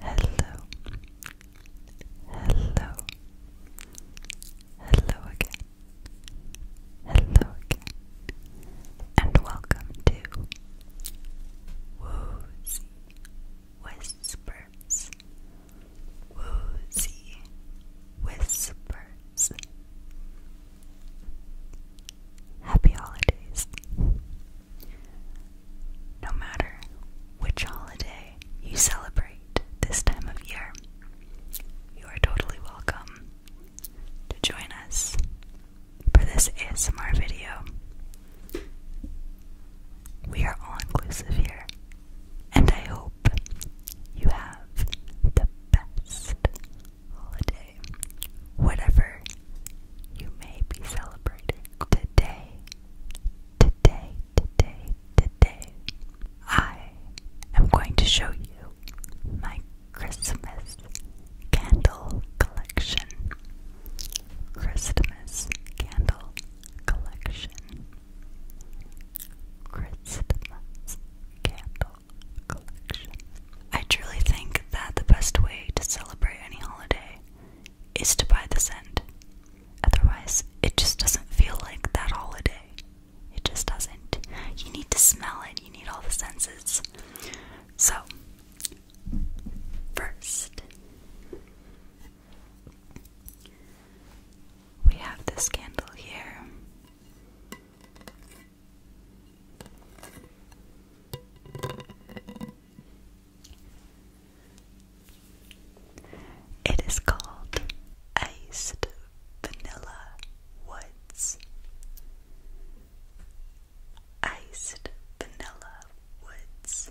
Hello, hello, hello again, hello again, and welcome to Woozy Whispers, Woozy Whispers. Happy holidays. No matter which holiday you celebrate this time of year, you are totally welcome to join us for this ASMR video. We are all inclusive here, and I hope you have the best holiday, whatever you may be celebrating. Today Today, today, today, I am going to show you my Christmas candle collection. Christmas candle collection. Christmas candle collection. I truly think that the best way to celebrate any holiday is to buy the scent. Otherwise, it just doesn't feel like that holiday. It just doesn't. You need to smell it, you need all the senses. So, first, we have this candle here. It is called Iced Vanilla Woods. Iced Vanilla Woods.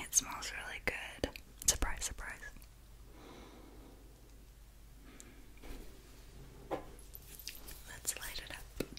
It smells really good. Surprise, surprise. Let's light it up.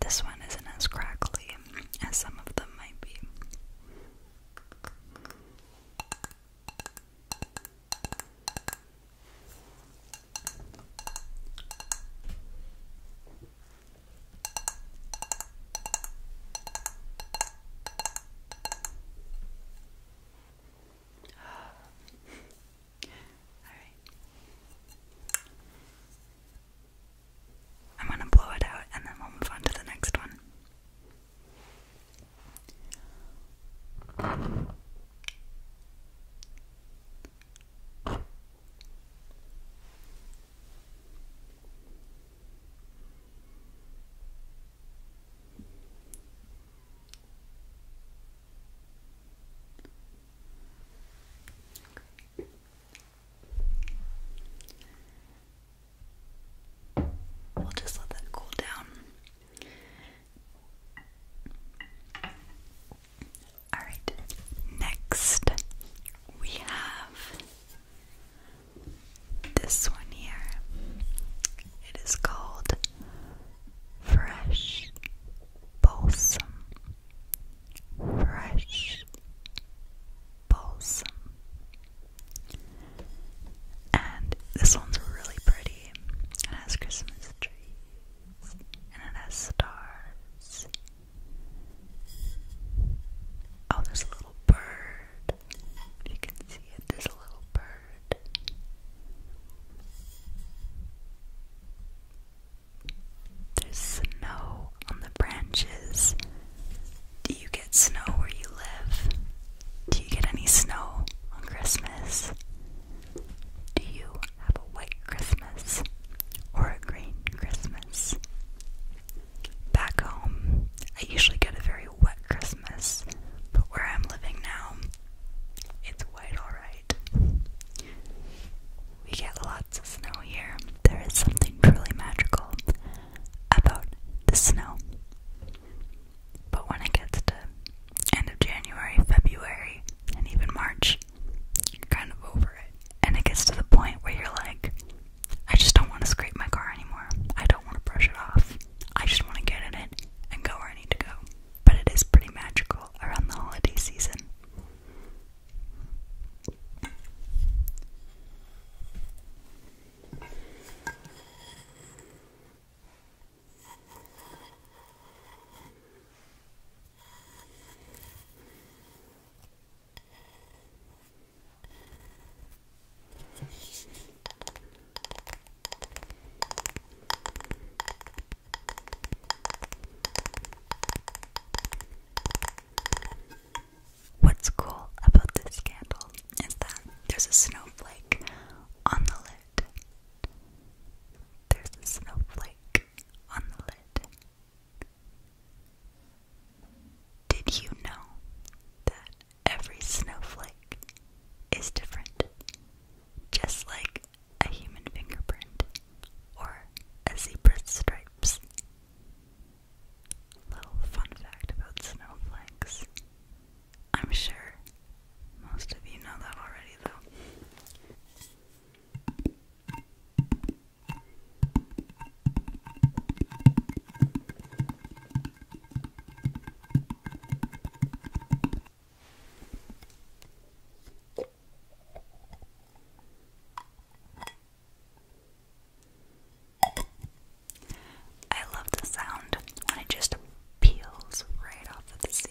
This one isn't as crackly as some of them might be. I'm gonna blow it out and then we'll move on to the next one. We'll just let that cool down. Alright, next we have this one here. It is called Fresh Balsam. Fresh Balsam. And this one's really pretty. It has Christmas trees and it has stars. Oh, there's a little bird. You can see it. There's a little bird. There's snow on the branches. Do you get snow where you live? Do you get any snow on Christmas? Do you have a white Christmas or a green Christmas? Back home, I usually get a very wet Christmas but where I'm living now, it's quite alright. We get lots of snow here. There is something truly magical about the snow. But when it gets to end of January, February, and even March, you're kind of over it. And it gets to the point where you're like, I just don't want to scrape my car anymore. I don't want to brush it off. I just want to get in it and go where I need to go. But it is pretty magical around the holiday season. What's cool about this candle is that there's a snowflake on the lid. There's a snowflake on the lid. Did you know that every snowflake is different, just like a human fingerprint or a zebra's stripes. Little fun fact about snowflakes. I'm sure most of you know that already, though. I love the sound when it just peels right off the seal.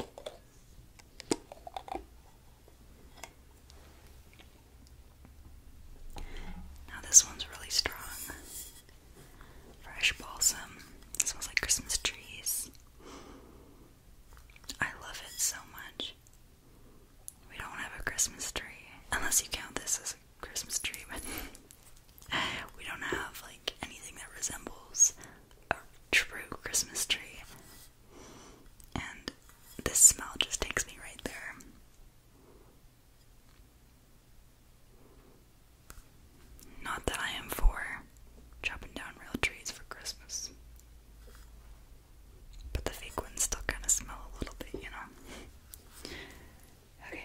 Now, this one's really strong. Fresh balsam. It smells like Christmas trees. I love it so much. We don't have a Christmas tree, unless you count this as a Christmas tree, we don't have like anything that resembles a true Christmas tree and this smell just takes me right there. Not that I am for chopping down real trees for Christmas. But the fake ones still kind of smell a little bit, you know? Okay.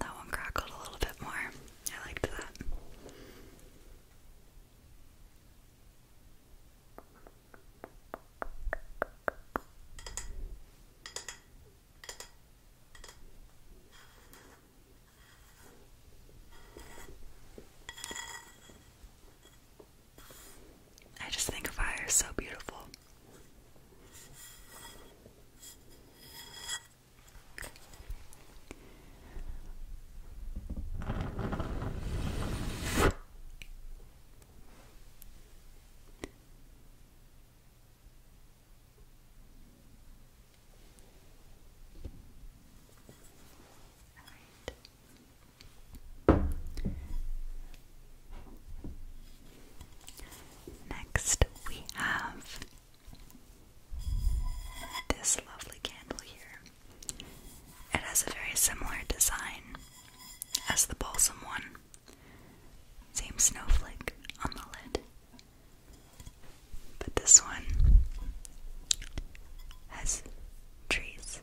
That one crackled a little bit more. I liked that. I just think fire is so beautiful. Next, we have this lovely candle here. It has a very similar design as the balsam one. Same snowflake on the lid. But this one has trees.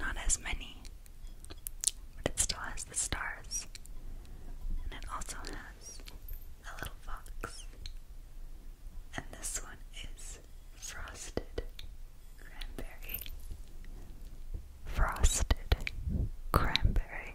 Not as many. But it still has the stars. And it also has a little fox. And this one is frosted cranberry frosted cranberry.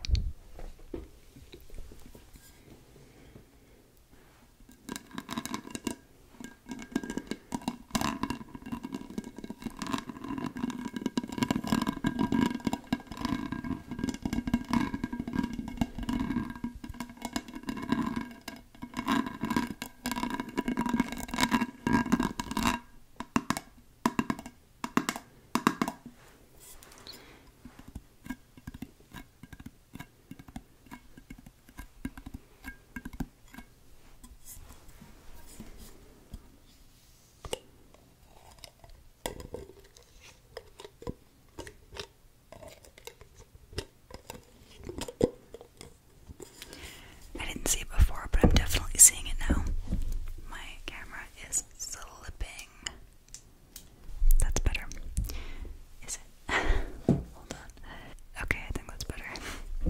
I didn't see it before, but I'm definitely seeing it now. My camera is slipping. That's better. Is it? Hold on. Okay, I think that's better.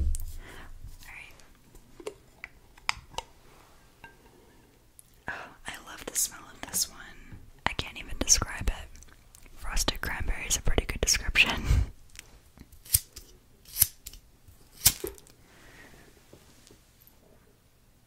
Alright. Oh, I love the smell of this one. I can't even describe it. Frosted cranberry is a pretty good description.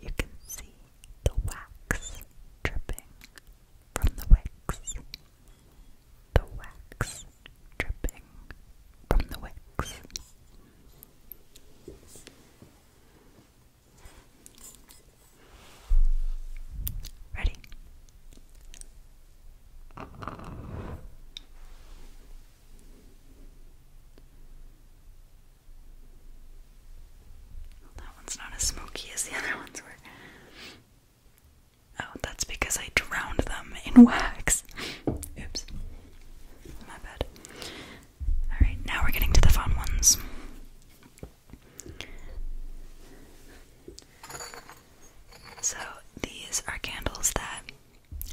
You can see the wax dripping from the wicks. The wax dripping from the wicks. Ready? that one's not as smoky as the other ones were. Oh, that's because I drowned them in wax. Oops. My bad. Alright, now we're getting to the fun ones. So, these are candles that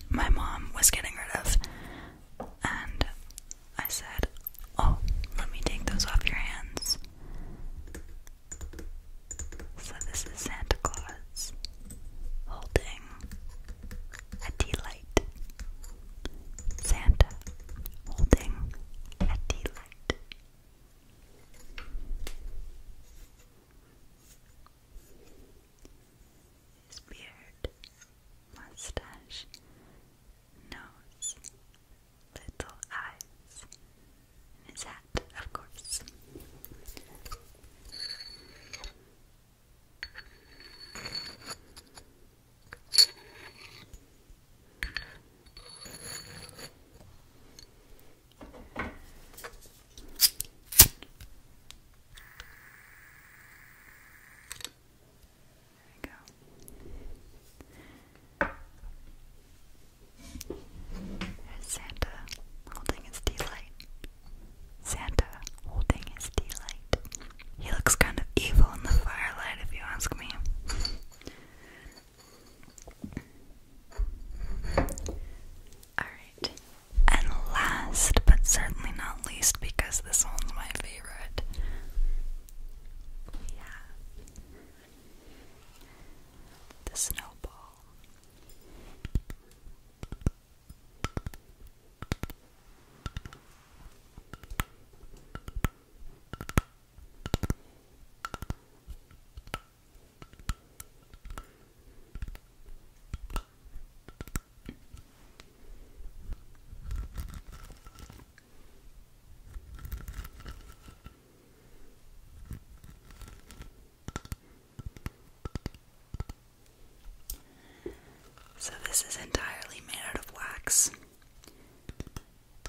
my mom was getting rid of. And I said, Oh, let me take those off your hands. So, this is Santa Claus holding a tea Santa holding a tea his beard, mustache, nose, little eyes, and his hat, of course. There we go. Santa holding his tea light. Santa holding his tea light. He looks kind of evil in the firelight, if you ask me. Alright, and last, but certainly not least, because this one's my favorite. Yeah. The snowball. So, this is entirely made out of wax,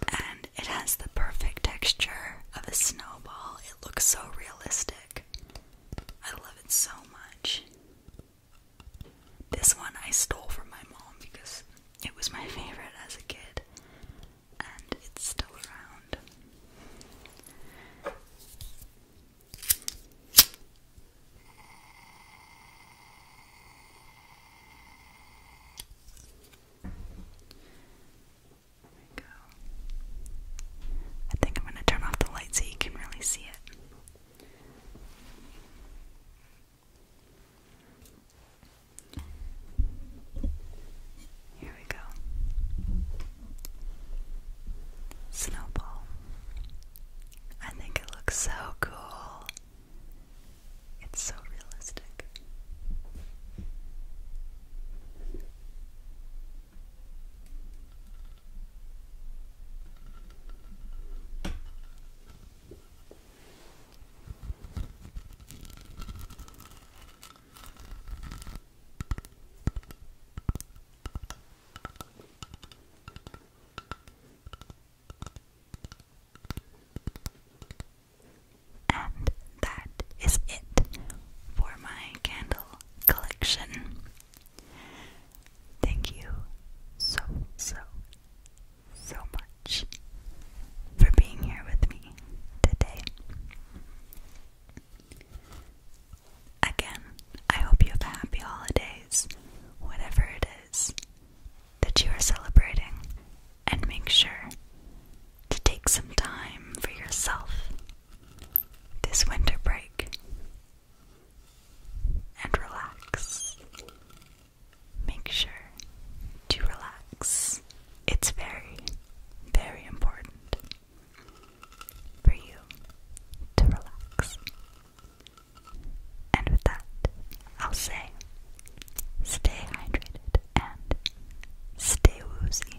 and it has the perfect texture of a snowball. It looks so realistic. I love it so much. This one I stole from my mom because it was my favorite as a kid, and it's still around. I think I'm going to turn off the light so you can really see it. Here we go. Snowball. I think it looks so cool. It's so realistic. And that is it for my candle collection. Thank you so, so, so much for being here with me today. Again, I hope you have happy holidays, whatever it is that you are celebrating, and make sure to take some time for yourself this winter break and relax. Make sure to relax. It's very, very important for you to relax. And with that, I'll say stay hydrated and stay woozy.